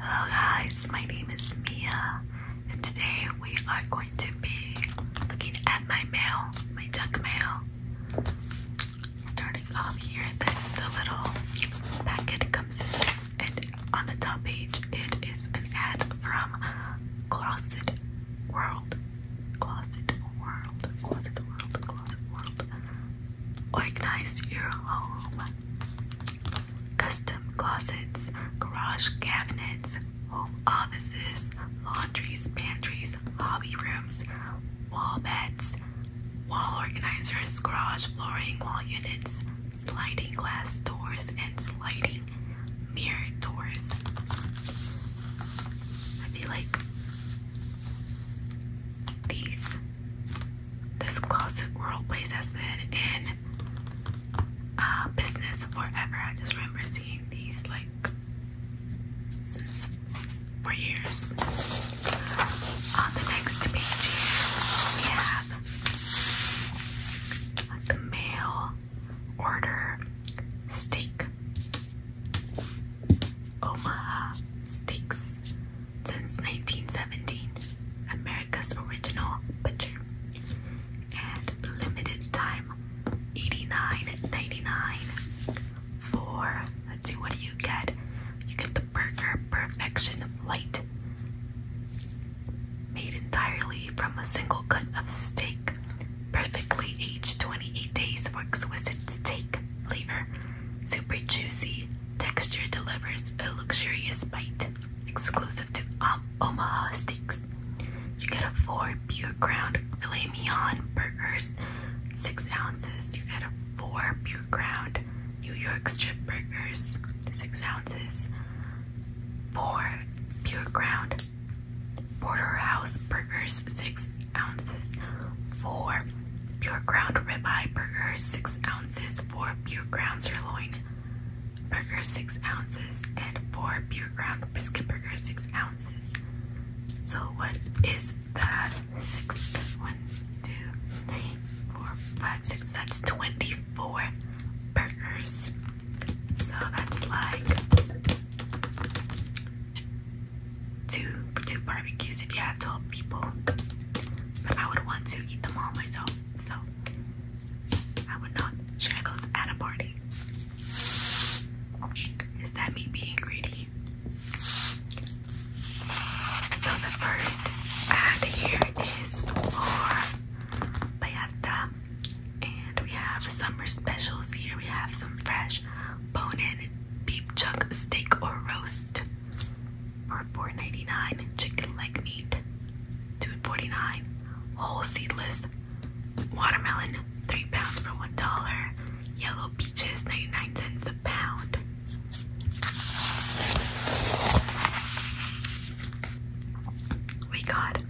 Hello guys, my name is Mia and today we are going to be looking at my mail, my junk mail. Starting off here, this is the little packet comes in and on the top page it is an ad from Closet World. Closet World, Closet World, Closet World. Organize your home custom closets, garage cabinets, home offices, laundries, pantries, hobby rooms, wall beds, wall organizers, garage flooring, wall units, sliding glass doors, and sliding mirror doors. I feel like these this closet world place has been in uh, business forever. I just remember seeing these like since for years. Uh, on the next page we have like mail order steak. Omaha steaks since 1917, America's original butcher. and limited time 89 99 for, let's see, what do you get? You get the Burger Perfection light, made entirely from a single cut of steak, perfectly aged 28 days for exquisite steak flavor, super juicy Texture delivers a luxurious bite, exclusive to um, Omaha Steaks. You get a four pure ground filet mignon burgers, six ounces. You get a four pure ground New York strip burgers, six ounces. Four pure ground porterhouse burgers, six ounces. Four pure ground ribeye burgers, six ounces ounces, four pure ground sirloin burgers, six ounces, and four pure ground brisket burgers, six ounces. So what is that? Six, one, two, three, four, five, six. That's twenty-four burgers. So that's like two two barbecues if you have twelve people. But I would want to eat them all myself. So I would not share those at a party. Is that me being greedy? So the first ad here is for Bayata. And we have summer specials here. We have some fresh bone-in beef chuck steak or roast for four ninety nine, dollars Chicken leg meat, two forty nine, Whole seedless watermelon, three pounds for one dollar. Yellow peaches, 99 cents a pound. We got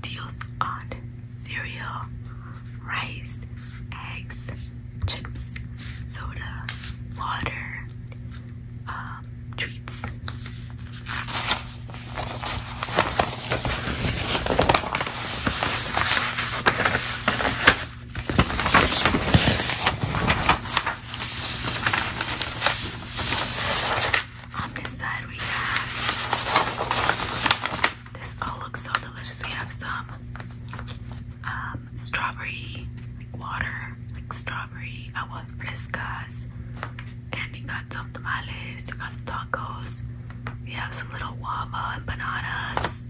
deals on cereal, rice, eggs, chips, soda, water, uh, treats. On this side, we have this all looks so delicious. We have some um, strawberry water, like strawberry. I was frescas, and we got some tamales. We got tacos. We have some little guava bananas,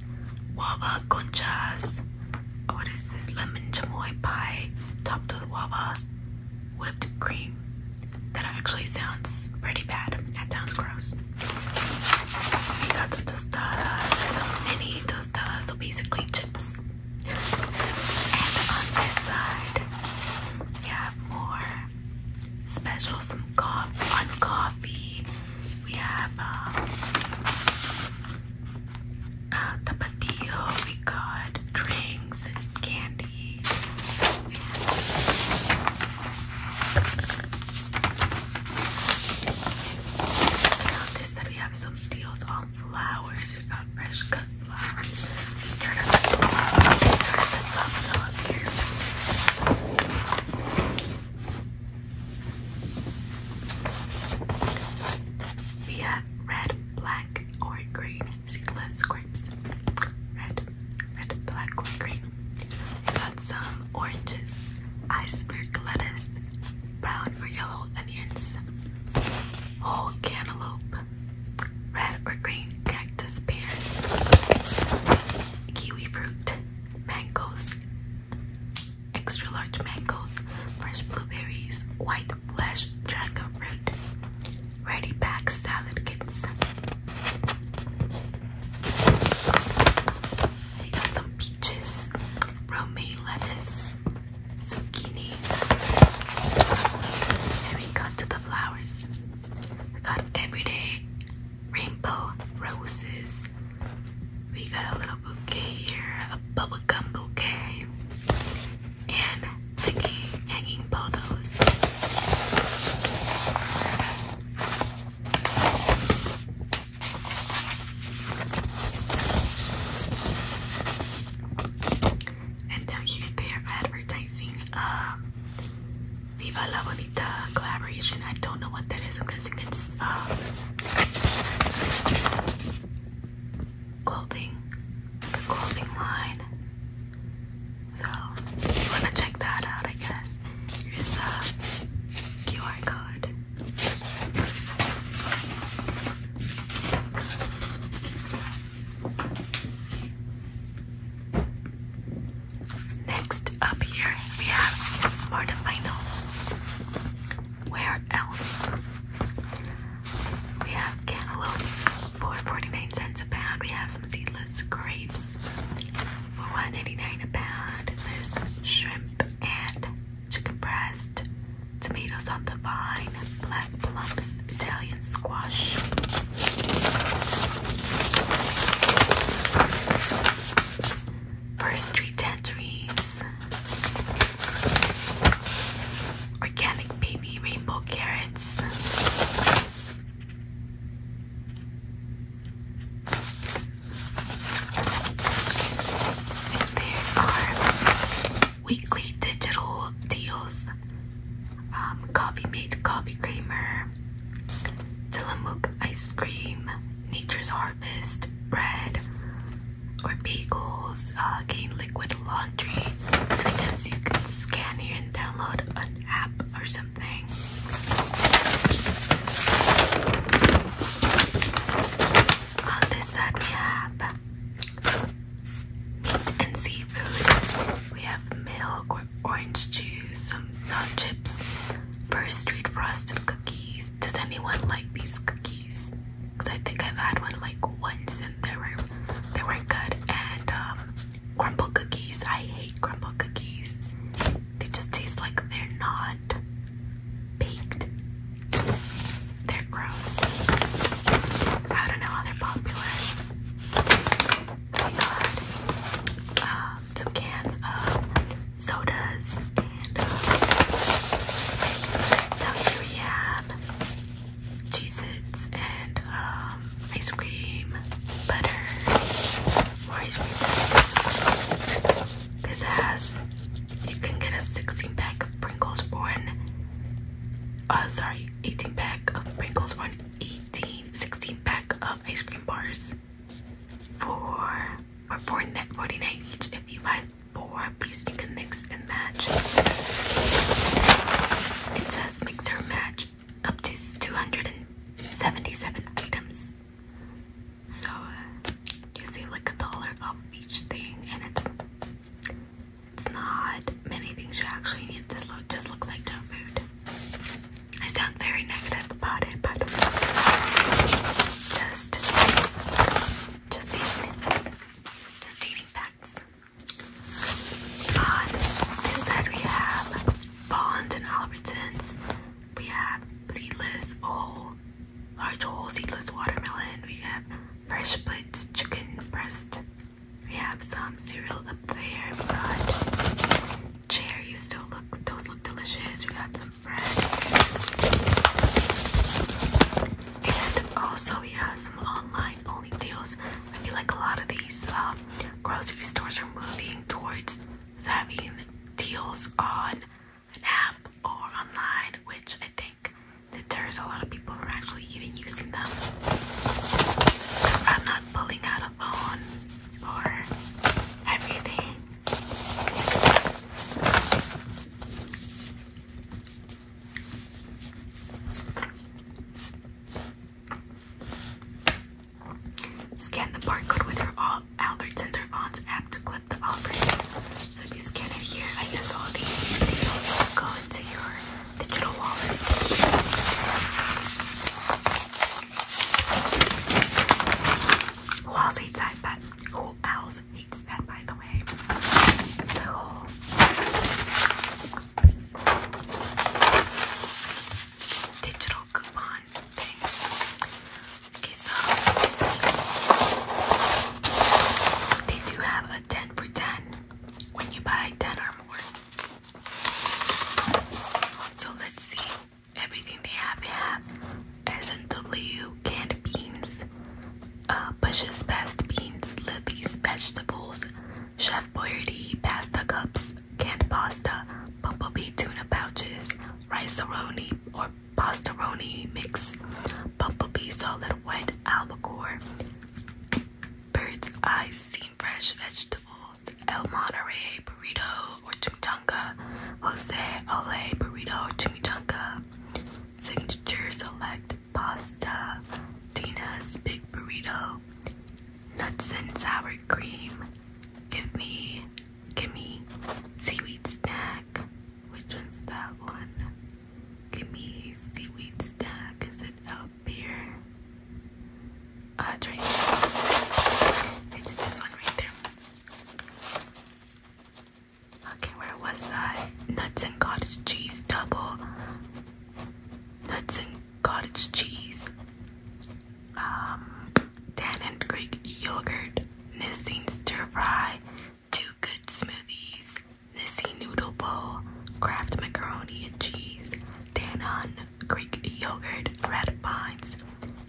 guava conchas. What is this lemon chamoy pie topped with guava, whipped cream? That actually sounds pretty bad. That sounds gross. We got some tostadas, some mini tostadas, so basically chips. And on this side, we have more special, some coffee on coffee. We have um, uh, tapatio. We got drinks and candy. on this side, we have some deals um, flowers, not fresh cut flowers. Turn it up, We have red, black, or green seedless grapes. Red, red, black, or green. We got some oranges, iceberg lettuce, brown or yellow onions, whole cantaloupe, red or green cactus pears, kiwi fruit, mangoes, extra large mangoes, fresh blueberries, white flesh dragon fruit, ready pack salad kits. I got some peaches, romaine lettuce, Zucchini. we got to the flowers. We got everyday rainbow roses. We got a little bouquet here, a bubblegum bouquet. And hanging, hanging pothos. And down here they're advertising uh, Viva La Bonita collaboration. I don't know what that is. it's um, clothing, clothing line. So you wanna check that out, I guess here's a QR code. Next up here we have Smart and Where else? We have cantaloupe for 49 cents a pound. We have some seedless grapes for 1.89 a pound. There's shrimp and chicken breast tomatoes on the vine, black plums, Italian squash. First Street tangerines, organic baby rainbow carrots, there are weekly digital deals, um, coffee made coffee creamer, Tilamook ice cream, Nature's Harvest bread or bagels, uh, gain liquid laundry. I guess you can scan here and download an app or something. On this side we have Meat and seafood. We have milk, or orange juice, some nut chips, first street frosted cookies. Does anyone like these cookies? Because I think I've had one like once and they were they weren't good. And um, crumble cookies. I hate crumble cookies. They just taste like they're not baked. They're gross. I don't know how they're popular. I got um, some cans of sodas and uh, cheese its and um, ice cream, butter, ice cream. This has you can get a 16 pack of Pringles or an uh sorry 18 pack of Pringles or an 18 16 pack of ice cream bars for or 49 each if you buy four please you can mix and match it says mix or match up to 277 items so you see like a dollar off each thing and it's it's not many things you actually need. This look just looks like junk food. I sound very negative about it, but just, just eating, just eating facts. On we have Bond and Albertsons. We have seedless, whole, large whole seedless watermelon. We have fresh split chicken breast. We have some cereal up there. We got cherries. Still look, those look delicious. We got some fresh. And also we have some online only deals. I feel like a lot of these um, grocery stores are moving towards having deals on an app or online, which I think deters a lot of people from actually even using them. I'm not pulling out a bone or everything. Scan the barcode with your Albertsons app to clip the offers. So if you scan it here, I guess all these deals go into your digital wallet. Who else hates that? But who else hates that? By the way, the whole. Digital coupon things. Okay, so They do have a 10 for 10 when you buy 10 or more. So let's see. Everything they have, they have S&W canned beans, uh, Bush's Best beans, Libby's vegetables, Chef Boyardee pasta cups, canned pasta, bumblebee tuna pouches, rice-a-roni or pasta-roni mix, bumblebee solid white albacore, Bird's Eye Steamed Fresh Vegetables, El Monterey Burrito or Chimichanga, Jose Ale Burrito or Chimichanga, Signature Select Pasta, Tina's Big Burrito, Nuts and Sour Cream, Give Me, Gimme, Seaweed Snack, which one's that one? Give me seaweed stack. Is it up here? Uh, it's It's this one right there. Okay, where was I? Nuts and cottage cheese double. Nuts and cottage cheese. Um, Dan and Greek yogurt. Nissin stir fry. Two good smoothies, Nissi Noodle Bowl, Kraft Macaroni and Cheese, Danon Greek Yogurt, Red Vines,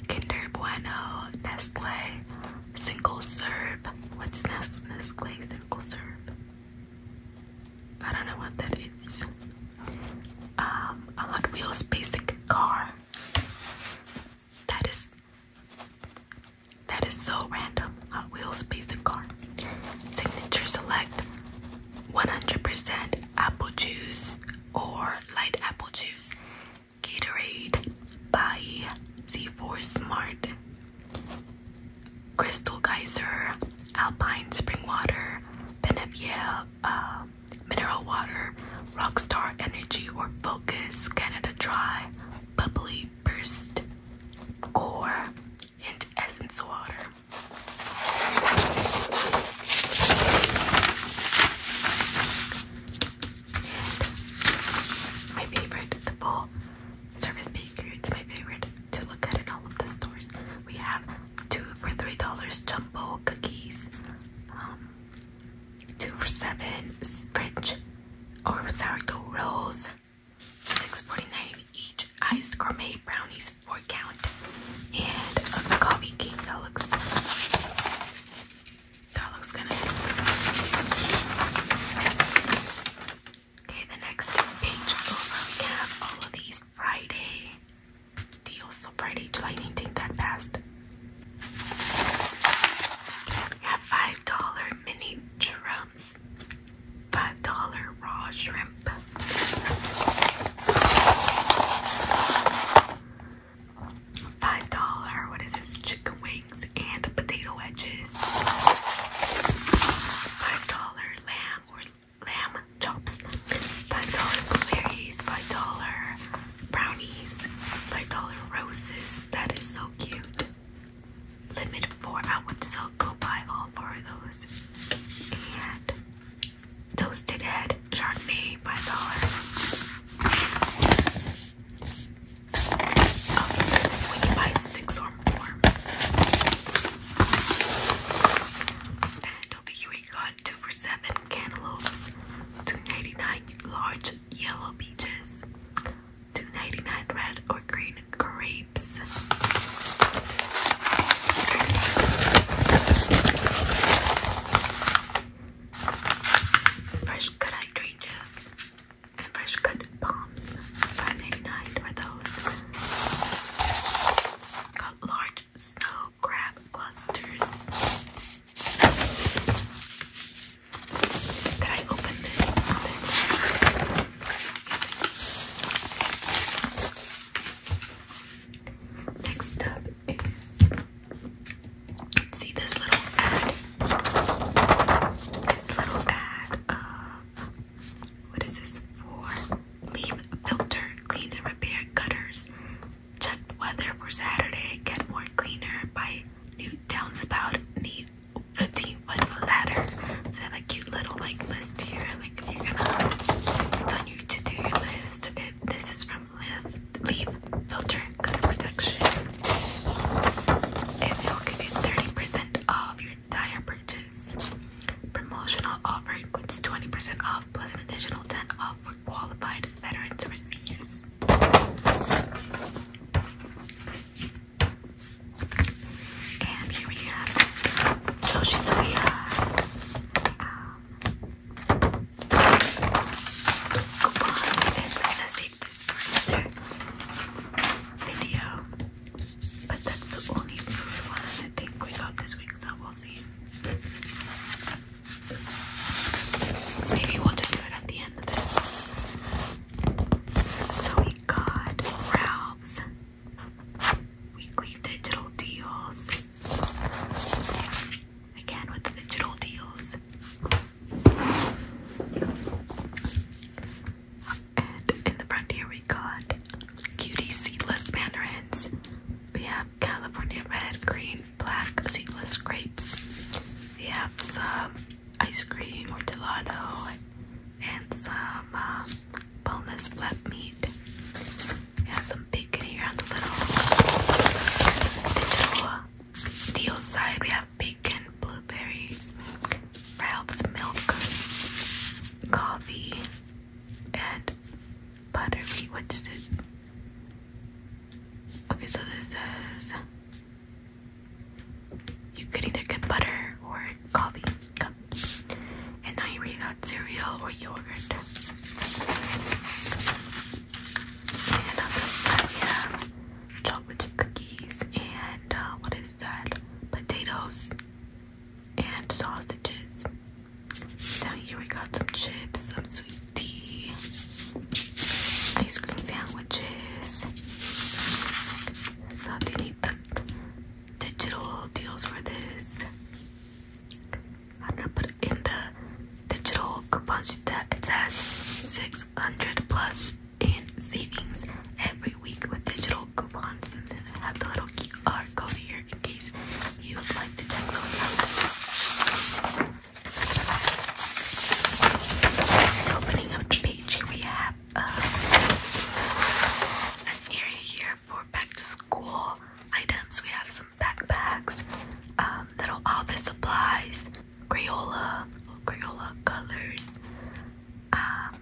Kinder Bueno, Nestle, Single Serve. What's Nes Nestle Single Serve? I don't know what that is. Um, Hot Wheels Basic Car. That is that is so random. Hot Wheels basic car. Signature select 100% apple juice or light apple juice. Gatorade by Z4 Smart. Crystal Geyser, Alpine Spring Water, Beneviel uh, Mineral Water, Rockstar Energy or Focus, Canada Dry, Bubbly Burst, Core, Hint essence water. my favorite, the full service bakery. It's my favorite to look at in all of the stores. We have two for three dollars jumbo cookies, um, two for seven French or sourdough rolls, $6.49 each iced gourmet brownies four count and a coffee cake that looks that looks kind of okay the next page we have all of these Friday deals so Friday July 19th that fast have five dollar mini drums five dollar raw shrimp. Five dollar, what is this? Chicken wings and potato wedges. Five dollar lamb or lamb chops. Five dollar blueberries. Five dollar brownies. Five dollar roses. That is so cute limit four I would still go buy all four of those and toasted head chardonnay five dollars okay oh, this is when you buy six or more and over here we got two for seven cantaloupes 2.99 large yellow peaches 2.99 red or green grapes. Fresh cut oranges and fresh cut palms. 5.99 for those. Got large snow crab clusters. Did I open this? Next up is see this little ad. This little ad of what is this for? Leave filter, clean and repair gutters. Check weather for Saturday. Get more cleaner by new downspout. Need 15 foot ladder. So I have a cute little like list here. Like if you're gonna it's on your to-do list. this is from Lift Leaf Filter Cutter Protection. And they'll give you 30% off your entire purchase. Promotional offer includes 20% off plus an additional 10 percent off for qualified veterans or seniors. And here we have this Yoshinoya um, coupons. gonna save this for another video. But that's the only food one I think we got this week, so we'll see. Maybe we'll just do it at the end of this. So we got Ralph's Weekly digital deals. Again with digital deals. And in the front here we got cutie seedless mandarins. We have California red, green, black seedless grapes. We have some ice cream or gelato and some um, boneless flat meat. We have some bacon here on the little digital deal side. We have bacon, blueberries, Ralph's milk, coffee, and butter. What's this? Okay, so this says you could either get butter or coffee cup and now you read out cereal or yogurt. And on this side we have chocolate chip cookies and uh, what is that? Potatoes and sausages. Down here we got some chips, some sweet tea, ice cream sandwiches, sardinita digital deals for this. I'm gonna put in the digital coupons that says 600 plus in savings every week with digital coupons. And then I have the little QR code here in case you would like to check those out. Opening up the page, we have an area here for back to school items. We have some backpacks, um, little office supplies, Crayola, Crayola colors, a um,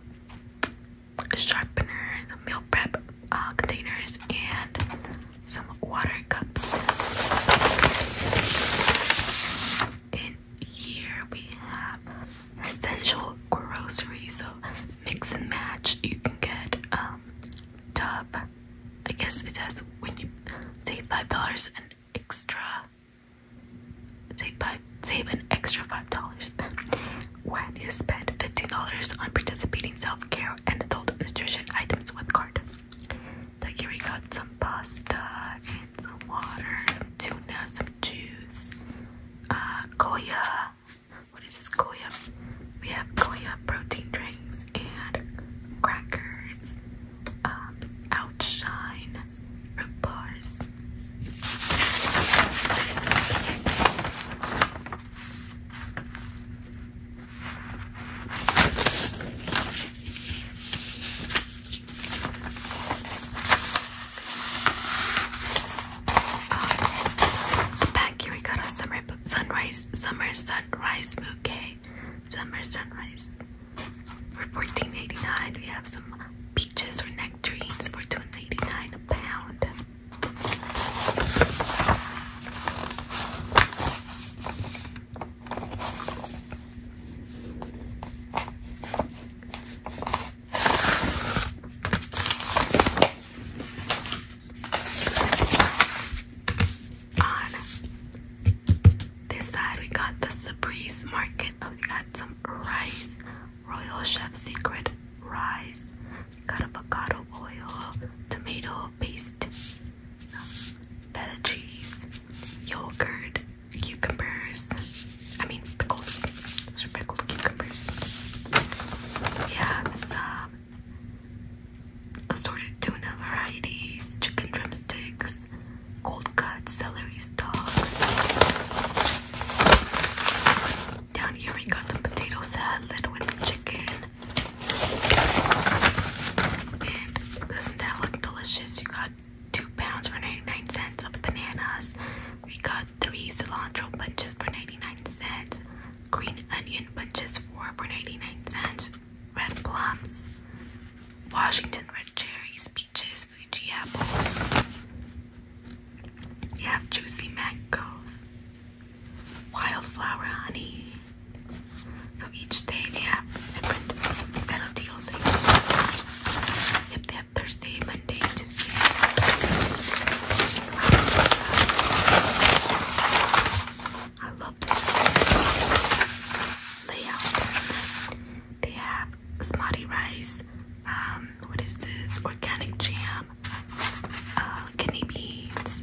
sharpener, meal prep uh, containers, and some water cups. In here we have essential groceries. So mix and match. You can get um tub. I guess it says when you save five dollars an extra. Save five. Save an extra five dollars when you spend fifteen dollars on participating self-care and adult nutrition items with card. So here we got some pasta and some water, some tuna, some juice, uh, Goya. What is this Goya? We have Goya protein drinks and crackers, um, outshine, fruit bars back here we got a summer sunrise, summer sunrise bouquet, summer sunrise. For fourteen eighty nine, we have some peaches or nectarines for two eighty nine a pound. On this side, we got the Sabri's Market. Oh, we got some rice, Royal Chef Secret rice. We got avocado oil, tomato paste, feta yogurt, cucumbers. I mean pickles, These are pickled cucumbers. We have some assorted tuna varieties, chicken drumsticks, cold cuts, celery stalks. Down here we got some potato salad with chicken. doesn't that look delicious? You got two pounds for 99 cents of bananas. We got three cilantro bunches for 99 cents, green onion bunches four for 99 cents, red plums, Washington red cherries, peaches, Fuji apples. You have juicy mangoes, wildflower honey. So each day they have different set deals. If they have Thursday, I love this layout. They have smarty rice. Um, what is this? Organic jam, uh, guinea beans,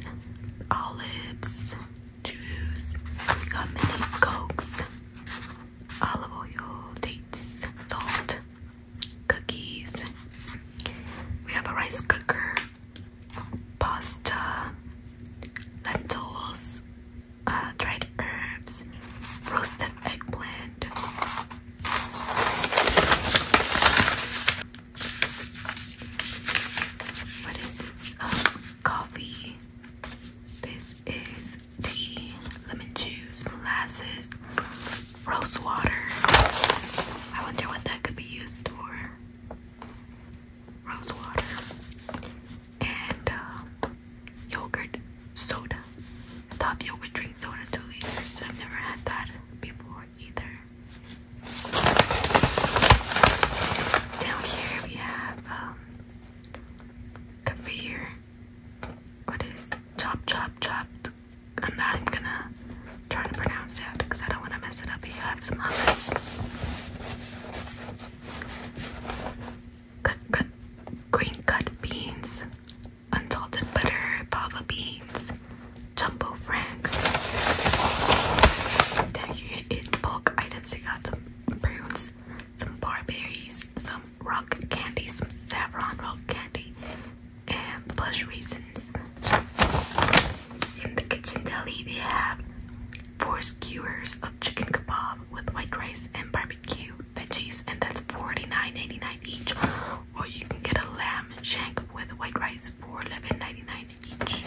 olives, juice. We got mini cokes, olive oil, dates, salt, cookies. We have a rice cooker, pasta, lentils, uh, dried herbs, roasted eggplant. What is this? Oh, coffee. This is tea, lemon juice, molasses, rose water. I wonder what that could be used for. Rose water and uh, yogurt soda. Stop yogurt drink soda two liters. I've never had that before either. Down here we have um, kefir. What is chop chop chopped I'm not even gonna try to pronounce it because I don't want to mess it up. You have some others. Cut, green cut beans, unsalted butter, baba beans, jumbo franks. There you in bulk items. You got some prunes, some barberries, some rock candy, some saffron rock candy, and plush raisins. In the kitchen deli, they have four skewers of chicken kebab with white rice and barbecue veggies, and that's $49.99 each. Or you can get a lamb shank with white rice for $11.99 each.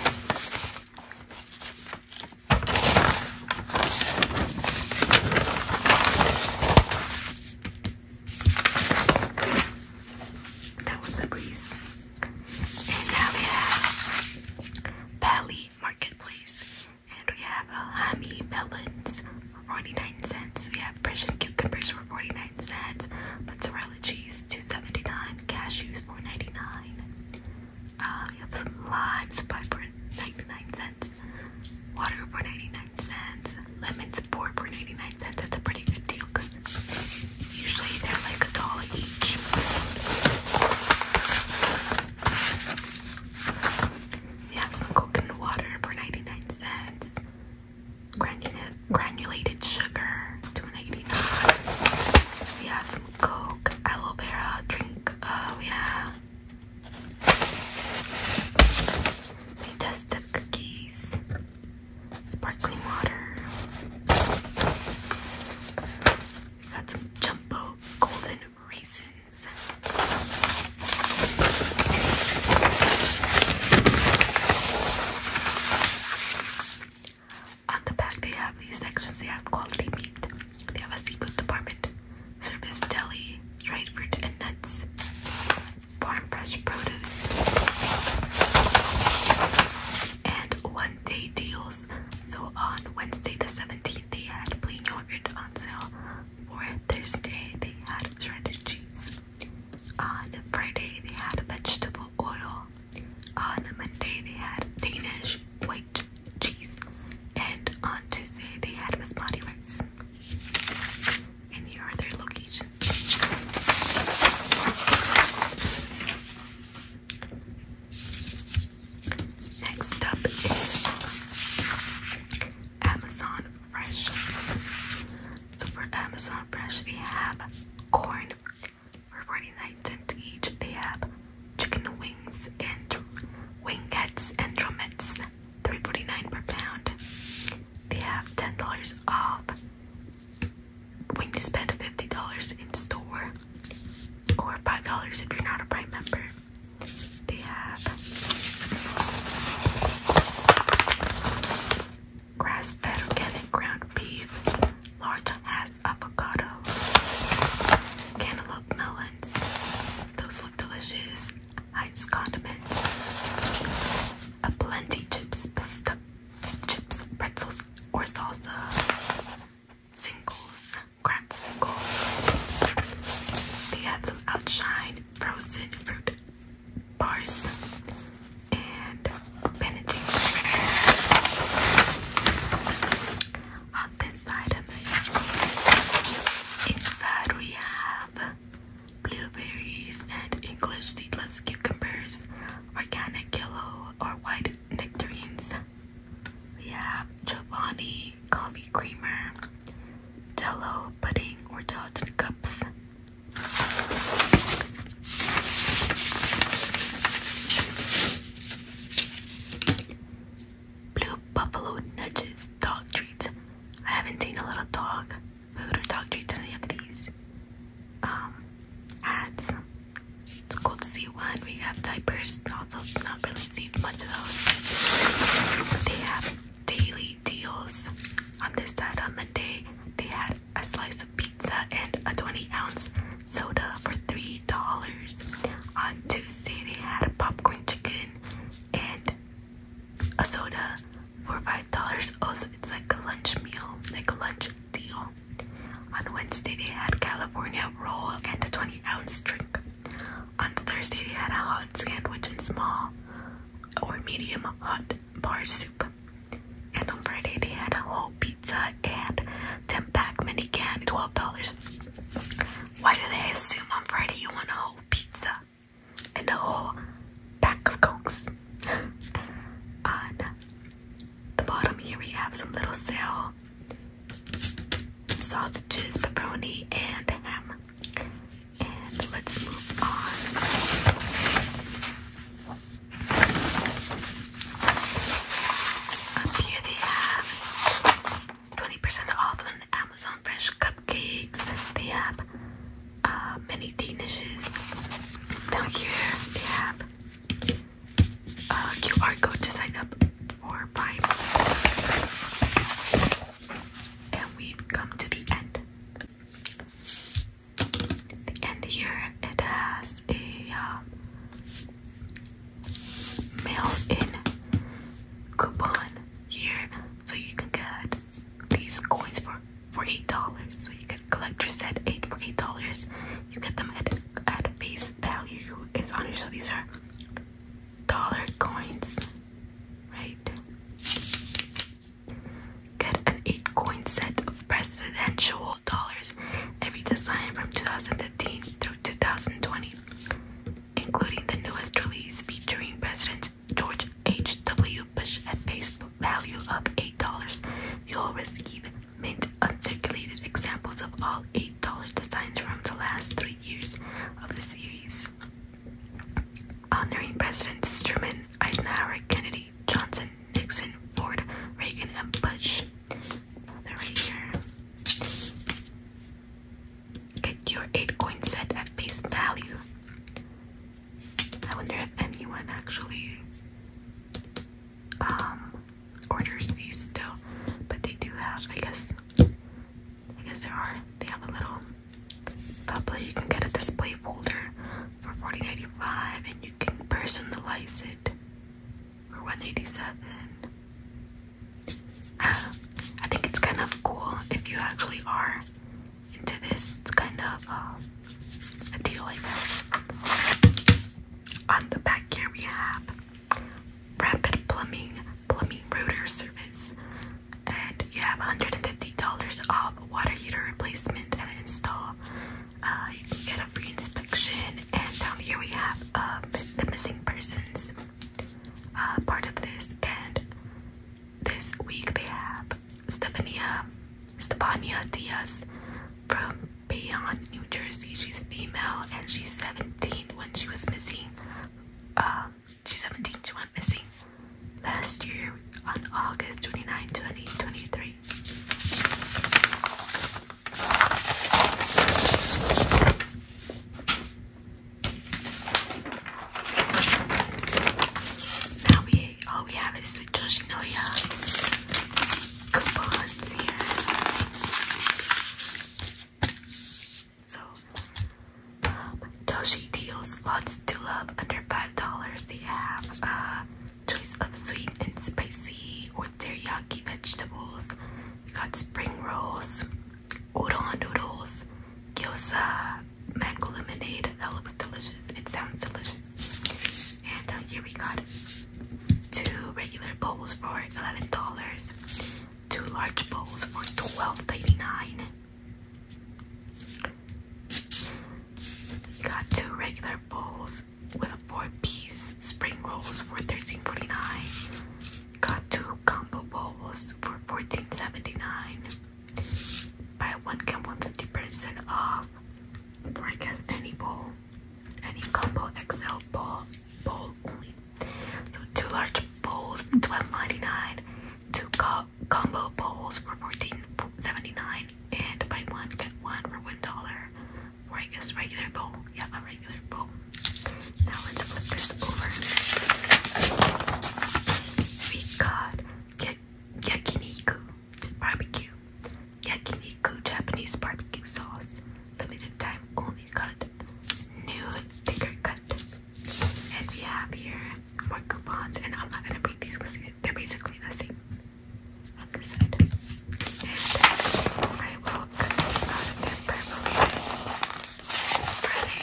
That was a breeze. And now we have Pally Marketplace. And we have Ahami uh, melons for 49 cents. We have Persian cucumbers for 49 cents. Mozzarella cheese, 2.79. Cashews, 4.99. Uh, we have some limes, for 99 cents. Water for 99 cents. Lemons, for 99 cents. That's a pretty good deal because usually they're like a dollar each. We have some coconut water for 99 cents. Granulate, granulated sugar, 2 We have some Coke, aloe vera drink. Uh, we they test the cookies, sparkling water. we got some jumbo golden raisins. On the back, they have these sections. They have quality meat. They have a seafood department, service deli, dried fruit and nuts, farm fresh produce and one day deals. So on Wednesday the 17th, they had plain yogurt on sale. On Thursday, they had shredded cheese. On Friday, they had vegetable oil. On Monday, they had Danish white cheese. And on Tuesday, they had basmati rice. And here are locations. Next up is Amazon Fresh. So for Amazon Fresh, they have corn for 49 cents each. They have chicken wings and wing and drumettes 3 per pound. They have $10 off when you spend $50 in store or $5 if you're not a Prime member. They have grass-fed organic ground beef, large ass avocado, cantaloupe melons. Those look delicious ice condiments, a plenty chips, chips, pretzels, or salsa, singles, cracked singles. They have some outshine frozen fruit bars and bandages. On this side of it, inside we have blueberries, and English seedless cucumbers, organic yellow or white nectarines. We have Giovanni coffee creamer, jello pudding or gelatin cups. Blue buffalo nudges dog treats. I haven't seen a little dog food or dog treats any of these um, ads. It's cool to see one. We have diapers, also not really seen much of those. they have daily deals. On this side on Monday, they had a slice of pizza and a 20 ounce soda for three dollars. On Tuesday, they had a popcorn chicken and a soda for five dollars. Also, oh, it's like a lunch meal, like a lunch deal. On Wednesday, they had California roll and a 20 ounce drink. On Thursday, they had a hot sandwich and small or medium hot bar soup. And on Friday, they had a whole pizza and 10 pack mini can, $12. Why do they assume on Friday you want a whole pizza? and a whole pack of cokes. On the bottom here, we have some little sale sausages, pepperoni, and ham. And let's move on. Up here, they have 20% off on Amazon Fresh Cup cupcakes. They have uh, many danishes. Down here they have a uh, QR code to sign up for Prime. And we've come to the end. The end here it has a um, mail in coupon here so you can get these coins for for eight dollars. So you get collector set eight for eight dollars. You get them at at face value is on here. So these are dollar coins, right? Get an eight coin set of presidential dollars. Every design from 2015 through 2020, including the newest release featuring President George H. W. Bush at face value of $8, you'll receive mint uncirculated examples of all $8 designs from the last three years of the series. Honoring Presidents Truman, Eisenhower, Kennedy, Johnson, Nixon, Ford, Reagan, and Bush. they right here. Get your 8 coin set at face value. I wonder if anyone actually um, orders these still. But they do have I guess I guess there are they have a little tablet you can get a display folder for 40 and you can personalize it for 187 I think it's kind of cool if you actually are into this kind of um, a deal like this. On the back here we have Rapid Plumbing Plumbing Router Service, and you have $150 off water heater replacement and install. Uh, you can get a free inspection, and down here we have uh, the missing persons uh, part of this. And this week they have Stefania Stefania Diaz from Bayonne, New Jersey. She's female and she's 17 when she was missing. Uh, she's 17, she went missing last year on August 29, 2023. Now we all we have is the Yoshinoya coupons here. So um, Toshi deals lots to love under five dollars. They have a choice of sweet and spicy or teriyaki vegetables. We got spring rolls, udon noodles, gyoza, mango lemonade. That looks delicious. It sounds delicious. And uh, here we got two regular bowls for eleven dollars. Two large bowls for twelve ninety nine. We got two regular bowls with a four-piece spring rolls for thirteen forty nine. Got two combo bowls for fourteen seventy nine. Buy one get one fifty percent off. For I guess any bowl, any combo XL bowl bowl only. So two large bowls for twelve ninety nine, two combo bowls for fourteen seventy nine, and buy one get one for one dollar. For I guess regular bowl, yeah, a regular bowl. Now let's flip this over. We got yakiniku, barbecue, yakiniku Japanese barbecue sauce, limited time only cut, new thicker cut. And we have here more coupons, and I'm not gonna break these because they're basically the same on this I will cut out of their purple. Really,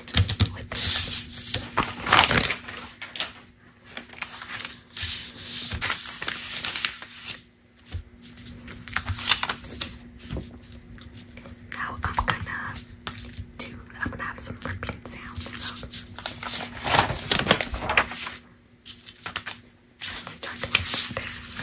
Now I'm gonna do I'm gonna have some ripping sounds, so let's start with this.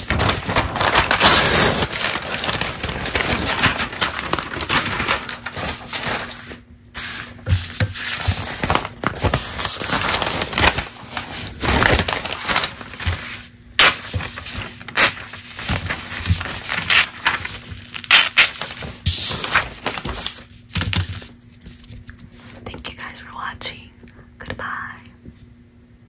Thank you guys for watching. Goodbye.